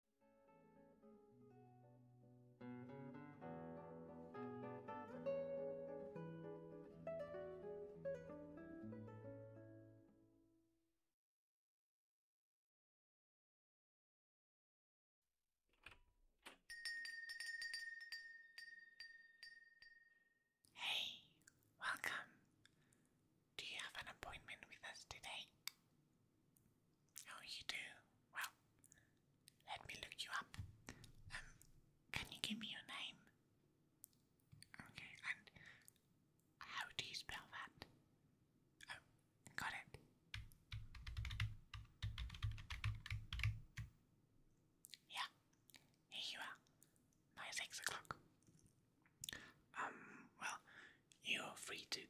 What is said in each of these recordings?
Hey, welcome. Do you have an appointment with us today? Oh, you do? Well, let me look you up. Um, can you give me your name? Okay, and how do you spell that? Oh, got it. Yeah, here you are. My six o'clock. Um, well, you're free to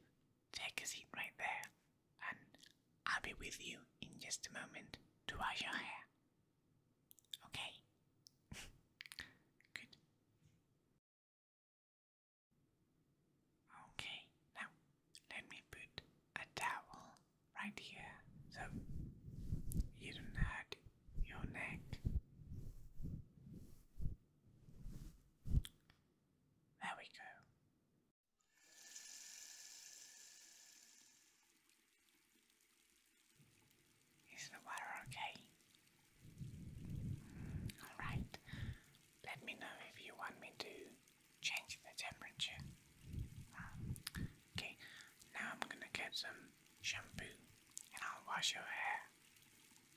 Take a seat right there, and I'll be with you in just a moment to wash your hair. Okay? Good. Okay, now let me put a towel right here so you don't hurt your neck. There we go. Is the water okay? Mm, Alright, let me know if you want me to change the temperature. Um, okay, now I'm gonna get some shampoo and I'll wash your hair.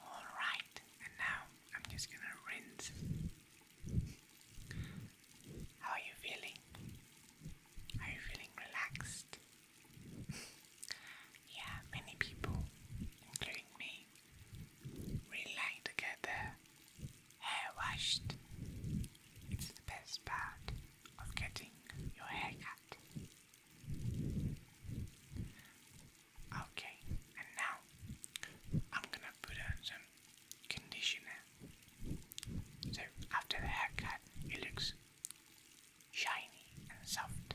All right, and now I'm just gonna rinse. How are you feeling? Are you feeling relaxed? yeah, many people, including me, Really like hair washed. It's the best part of getting your hair cut. Okay, and now I'm gonna put on some conditioner. So after the haircut, it looks shiny and soft.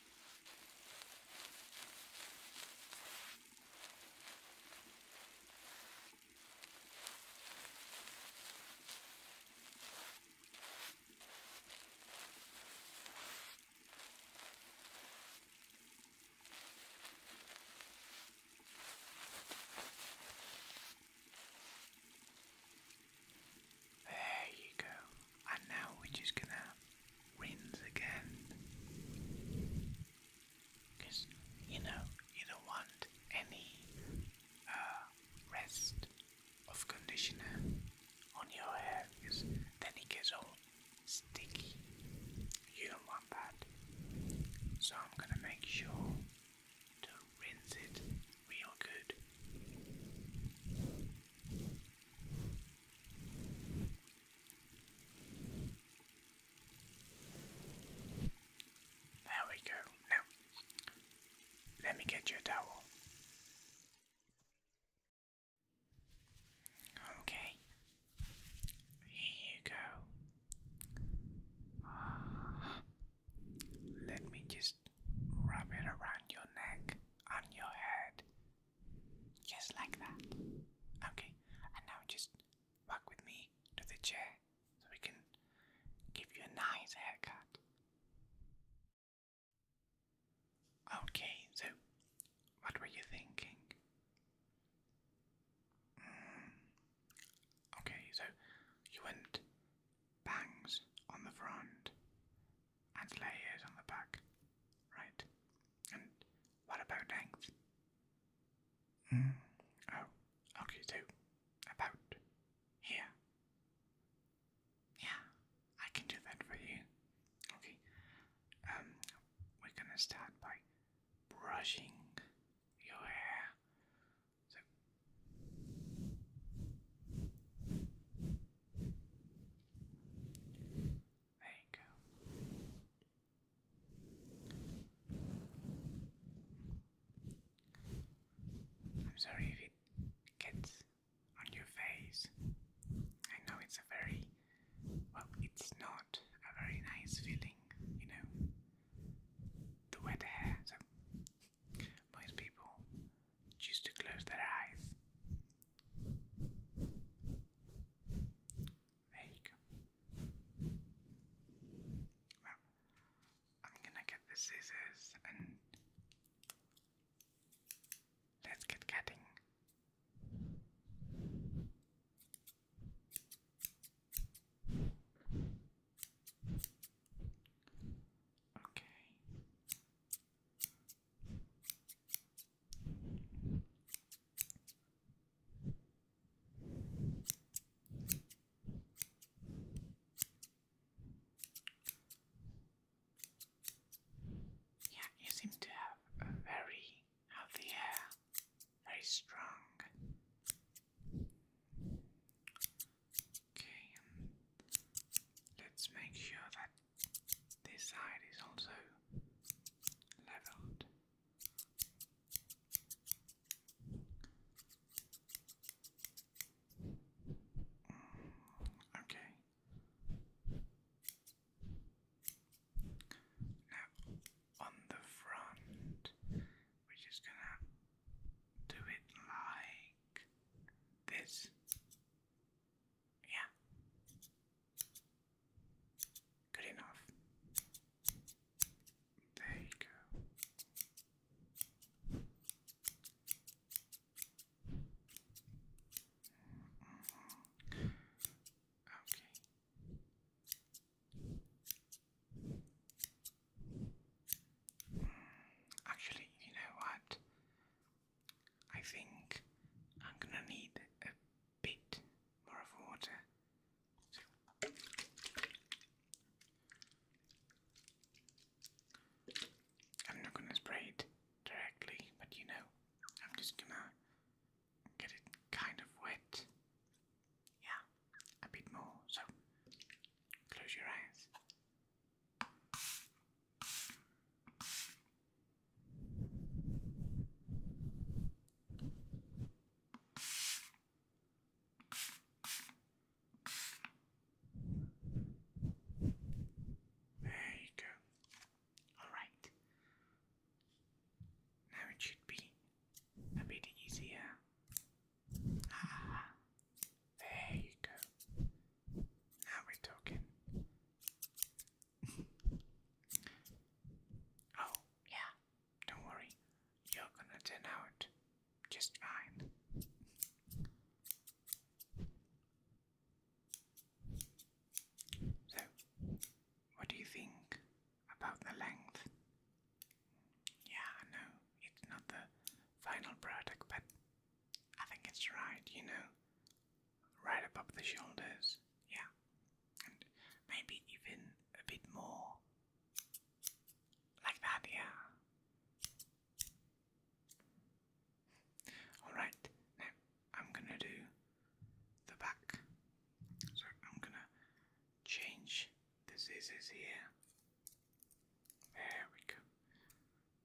There you go. And now we're just gonna wins again. Because, you know, you don't want any uh, rest of conditioner on your hair because then it gets all sticky. You don't want that. So I'm gonna make sure to rinse it real good. There we go. Now, let me get your towel. Okay. Here you go. Let me just wrap it around your neck and your head. Just like that. Okay, and now just walk with me to the chair so we can give you a nice haircut. Okay, so what were you thinking? Mm. okay, so you want bangs on the front and layers on the back, right? And what about length? Mm. Oh, okay, so about here. Yeah, I can do that for you. Okay, um, we're gonna start by brushing your hair. So there you go. I'm sorry if it gets on your face. I know it's a very, well, it's not a very nice feeling, you know, the wet hair. So most people choose to close their eyes there Well, I'm gonna get the scissors and let's get cutting. Okay. Yeah, you seem to have a very healthy very strong. Okay, um, let's make sure that this side is also leveled. Mm, okay. Now on the front, we're just gonna do it like this. Yeah. Good enough. There you go. Mm-hmm. Okay. Mm. actually, you know what? I think I'm gonna need a bit more of water. I'm not gonna spray it directly, but you know, I'm just gonna get it kind of wet. Yeah, a bit more. So, close your eyes. There you go. Alright. Now it should be a bit easier. there you go. Now we talking. oh, yeah, don't worry. You're gonna turn out just fine. So, what do you think about the length? Yeah, I know it's not the final product, but I think it's right, you know, right above the shoulders, yeah, and maybe even a bit more like that, yeah. Alright, now I'm gonna do the back, so I'm gonna change the scissors here. There we go. Okay.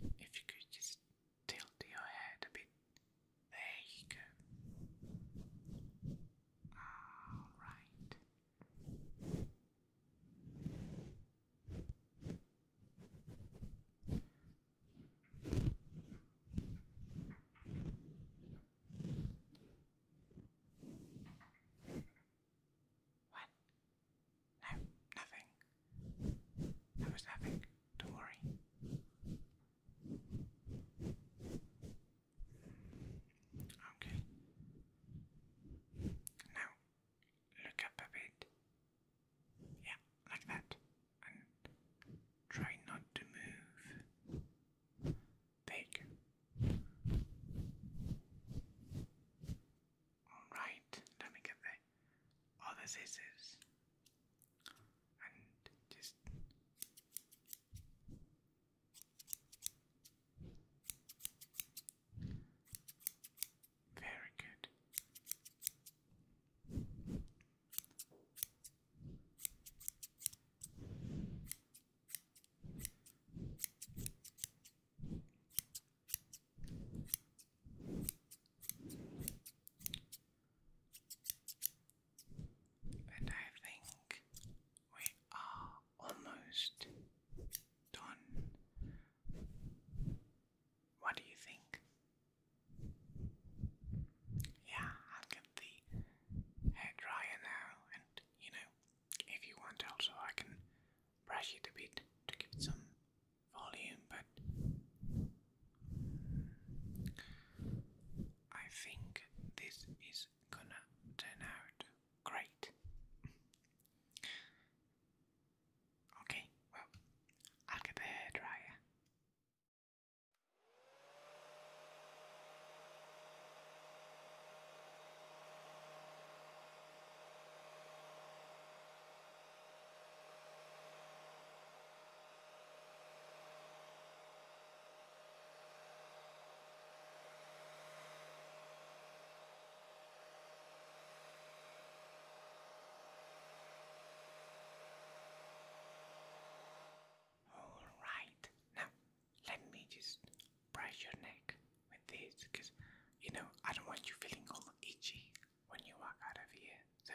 If you could just tilt your head a bit. There you go. All right. What? No, nothing. There was nothing. Don't worry. Okay. Now look up a bit. Yeah, like that. And try not to move. There Alright, let me get the other scissors. And just very good. And I think we are almost done. What do you think? Yeah, i get the hairdryer now, and you know, if you want, also I can brush it a bit to give some volume, but I think this is gonna turn out great. okay, well, I'll get the hairdryer. All right, now let me just brush your neck with this because you know I don't want you feeling all itchy when you walk out of here. So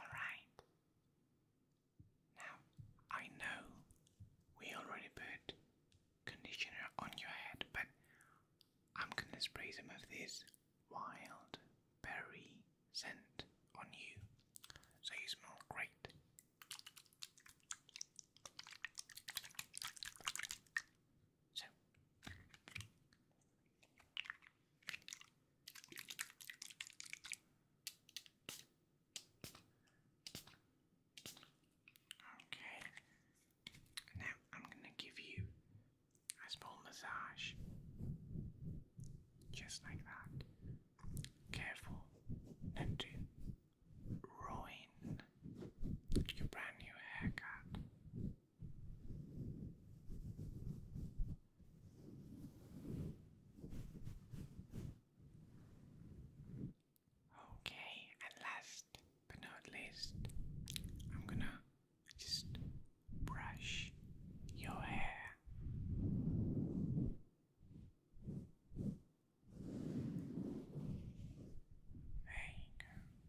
Alright. Now, I know we already put conditioner on your head, but I'm gonna spray some of this wild berry scent on you so you smell great. So Okay. Now I'm gonna give you a small massage. Just like that. Careful not ruin your brand new haircut. Okay, and last but not least, I'm gonna just brush your hair. There you go.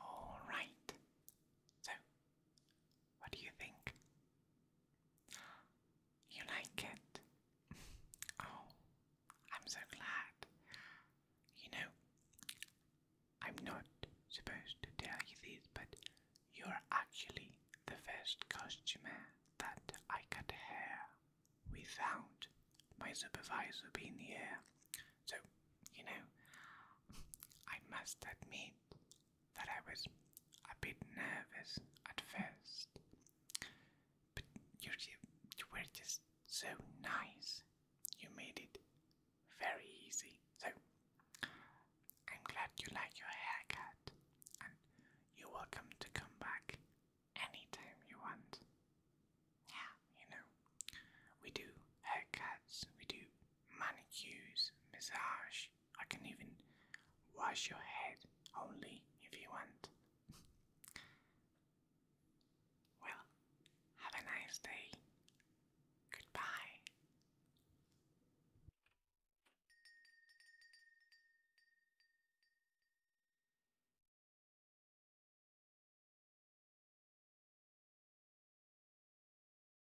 All right. So, what do you think? You like it? Oh, I'm so glad. You know, I'm not supposed to tell you this, but you're actually the first customer that I cut hair without my supervisor being here. So, you know, I must admit that I was a bit nervous at first, but you, were just so nice. You made it very easy. So I'm glad you like your haircut, and you're welcome to come back anytime you want. Yeah, you know, we do haircuts, we do manicures, massage, I can even wash your head only if you want. well, have a nice day. Goodbye.